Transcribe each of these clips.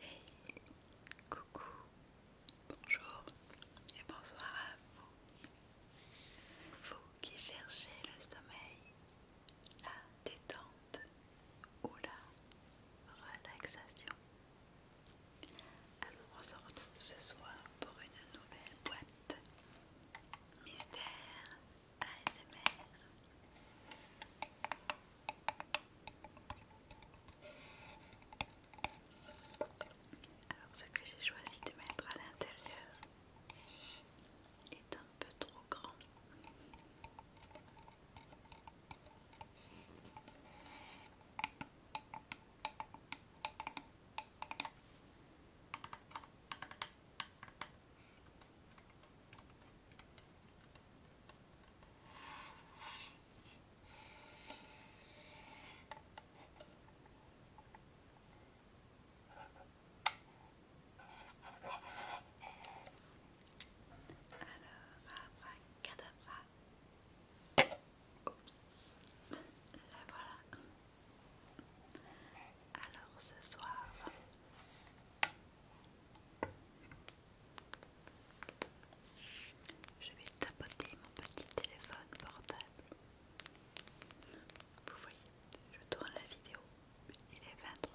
Hey, coucou, bonjour et bonsoir à vous. Vous qui cherchez le sommeil, la détente ou la relaxation. Alors on se retrouve ce soir pour une nouvelle boîte mystère alors ce que j'ai choisi de mettre à l'intérieur est un peu trop grand. Alors, cadabra. Oups, la voilà. Alors ce soir, je vais tapoter mon petit téléphone portable. Vous voyez, je tourne la vidéo. Il est 23h31.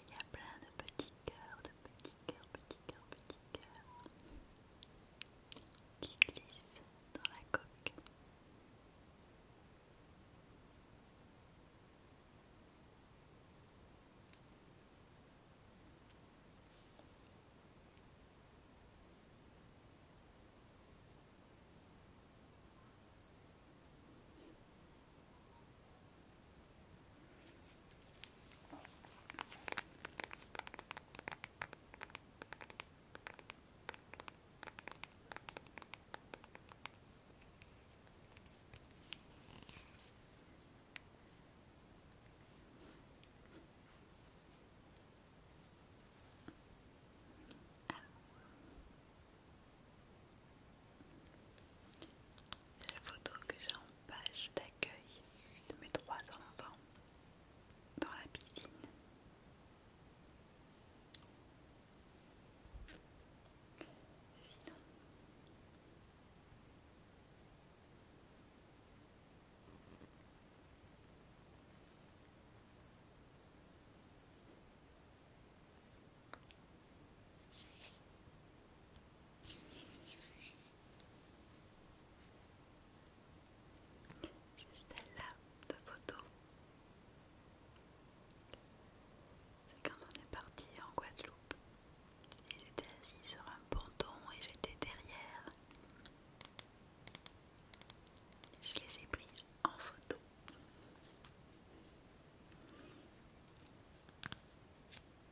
Il y a plein de petits cœurs, de petits cœur, petit cœur, petit cœur qui glisse dans la coque. C'est la photo que j'ai page d'accueil de mes trois enfants dans la piscine. J'ai celle-là de photo. C'est quand on est parti en Guadeloupe. Il était assis sur un ponton et j'étais derrière. Je les ai pris en photo.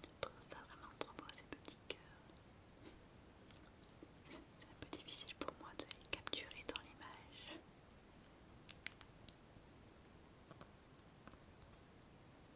Je trouve ça vraiment trop beau ces petits cœurs. C'est un peu difficile pour moi de les capturer dans l'image.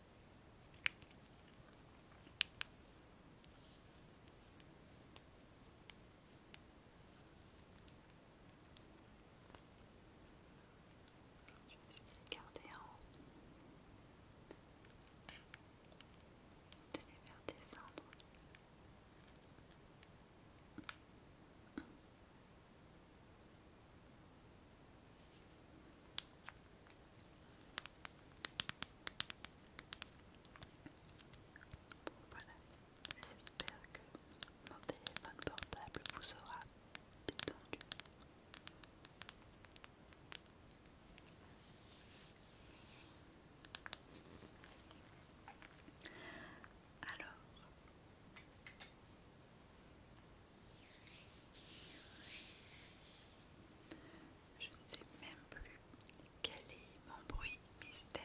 Je vais essayer de garder en haut, de les faire descendre voilà, j'espère que mon téléphone portable vous aura détendu. Alors, je ne sais même plus quel est mon bruit mystère.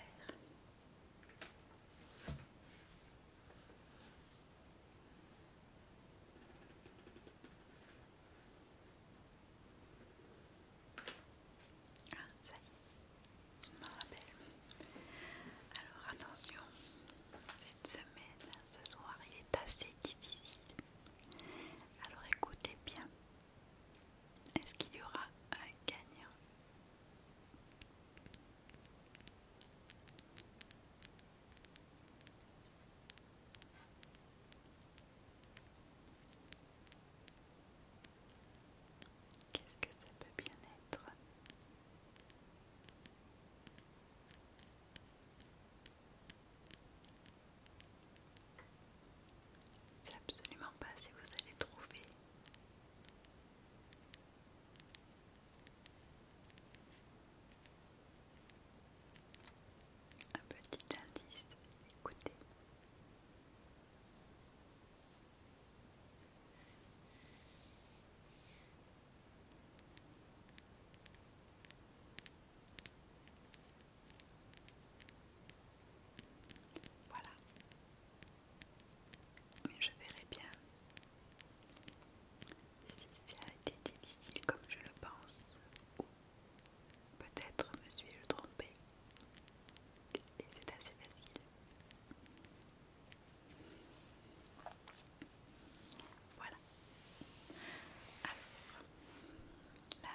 Ah, ça y est, je m'en rappelle. Alors attention, cette semaine, ce soir, il est assez difficile alors écoutez bien. Est-ce qu'il y aura un gagnant Qu'est-ce que ça peut bien être c'est absolument pas si vous allez trouver. Un petit indice, écoutez. Voilà. Je verrai bien si ça a été difficile comme je le pense, ou peut-être me suis-je trompée. Et c'est assez facile. Voilà. la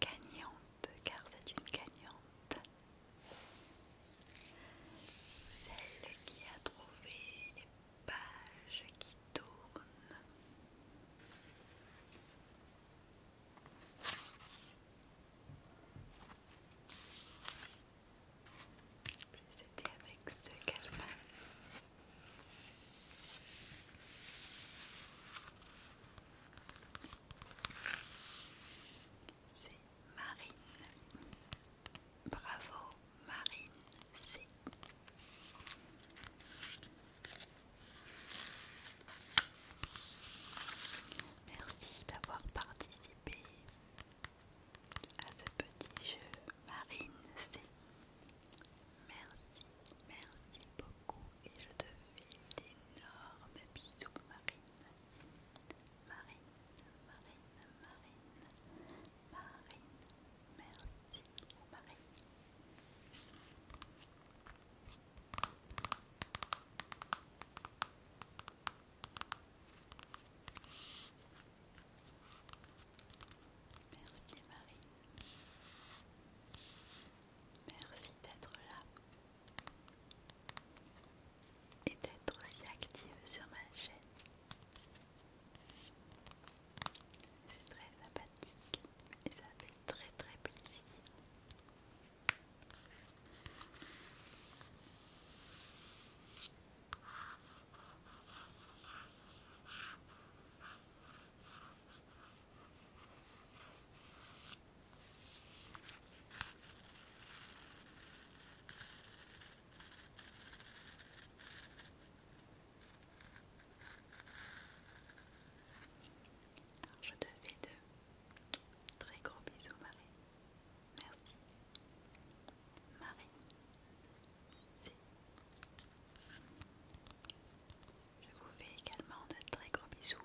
gagnante, car c'est une gagnante. Celle qui a trouvé les pages qui tournent. C'était avec ce calme. C'est Marine. Bravo Marine. C'est. Merci d'avoir participé à ce petit jeu Marine C. Merci, merci beaucoup et je te fais d'énormes bisous Marine. Marine, Marine, Marine, Marine, merci Marine. Merci Marie, Merci d'être là et d'être aussi active sur ma chaîne. C'est très sympathique et ça fait très très plaisir je te fais de très gros bisous Marie. Merci. Marie, je vous fais également de très gros bisous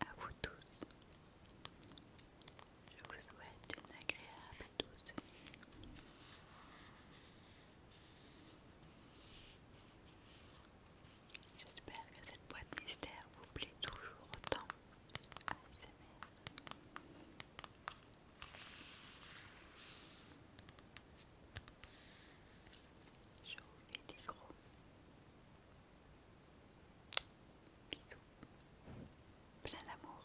à vous tous. Je vous souhaite une agréable douce nuit. J'espère que cette boîte mystère vous plaît toujours autant. Je fais des gros bisous, plein d'amour.